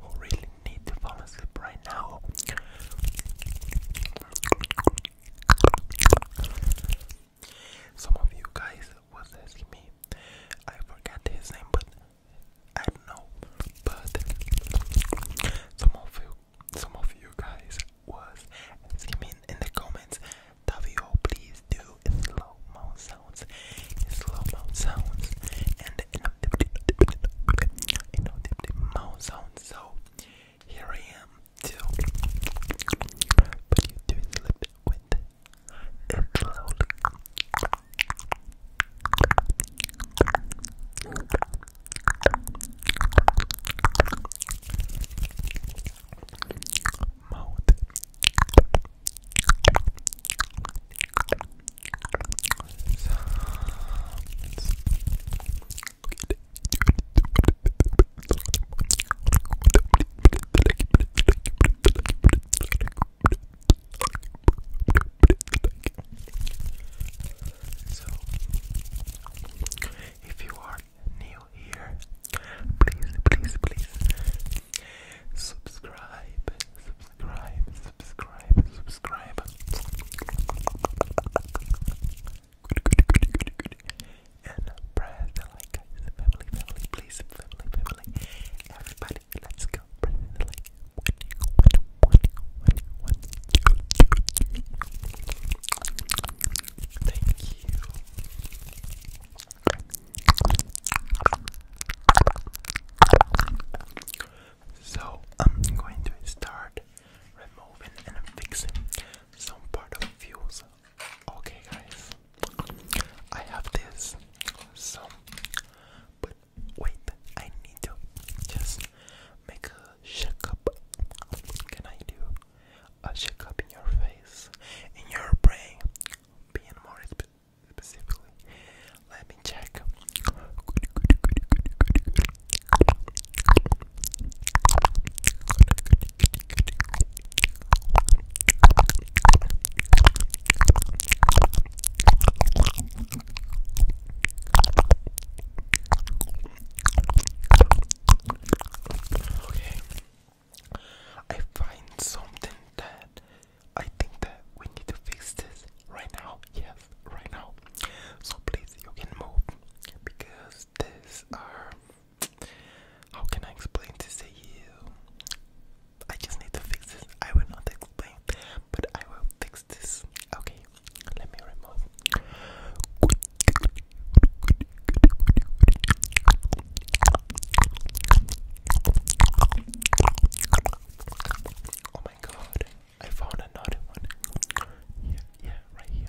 who really need to fall asleep right now. Some of you guys was asking me, I forgot his name, but I don't know. But some of you, some of you guys was asking me in the comments, Davio, please do slow mo sounds, slow mo sounds, and and you know the mouth sound. So here I am too. But you do it with it slowly. Mouth. So, if you are new here, please, please, please subscribe, subscribe, subscribe, subscribe. Good, good, good, good, good. And press the like, guys. Family, family, please, family, family. Everybody, let's go. Press the like. Thank you. So I'm going to start removing and fixing some part of the fuse. Okay guys, I have this, so, but wait, I need to just make a shake Can I do a shake in your face, in your brain, being more let me check. Okay. I find something that I think that we need to fix this right now. Yes, right now. So please, you can move because these are. How can I explain this to you? I just need to fix this. I will not explain, but I will fix this. Okay, let me remove. Oh my god, I found another one. Yeah, yeah, right here.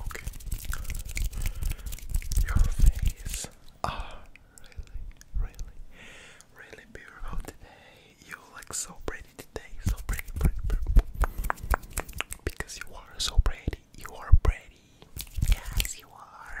Okay. Your face are ah, really, really, really beautiful today. You look so pretty today. So pretty, pretty, pretty. Because you are so pretty. You are pretty. Yes, you are.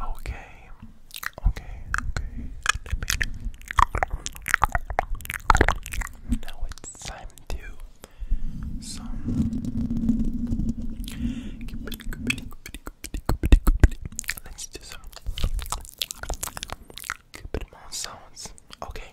Okay, okay, okay. Let me now it's time to some. Let's do some cupid mouth Okay.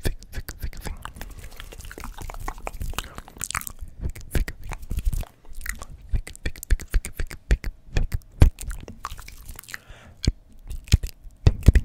thick, thick, thick thing. Thick, thick, thick. Thick, thick, thick, thick, thick, thick, thick, thick. Tingly, tingly, tingly, tingly.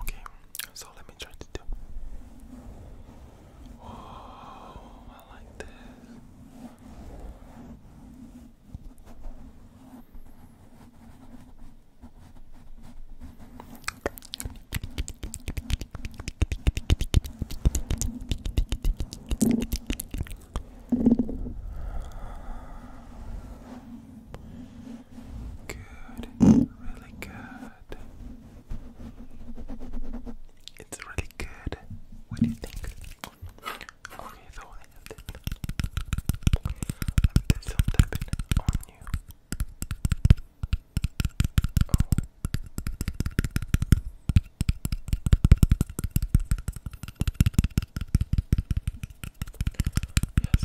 Okay, so let me try to do. Oh, I like this. Good, really good. It's really good. What do you think? Okay, so I have this. Let some tapping on you. Oh.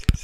yes, yes.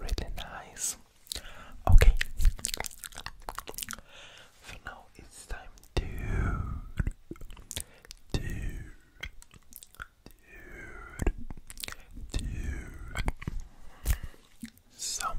Really nice. Okay. So now it's time to to to do some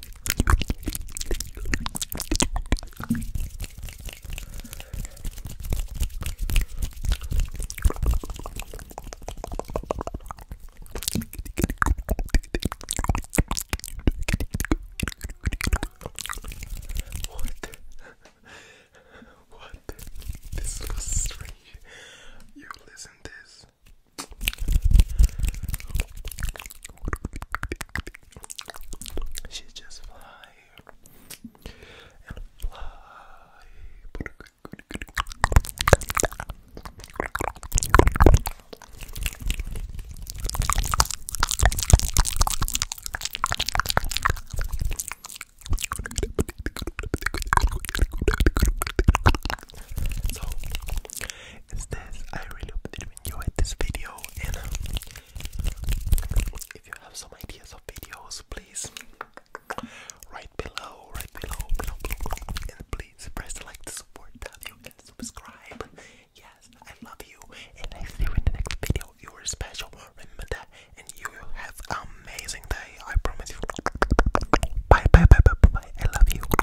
What? what? This was strange. You listen this. She just fly and fly is this. I really hope that you enjoyed this video and um, if you have some ideas of videos, please write below, right below, below, below, and please press the like to support you and subscribe. Yes, I love you, and I see you in the next video. You are special, remember that, and you have an amazing day. I promise you. Bye, bye, bye, bye, bye. bye. I love you.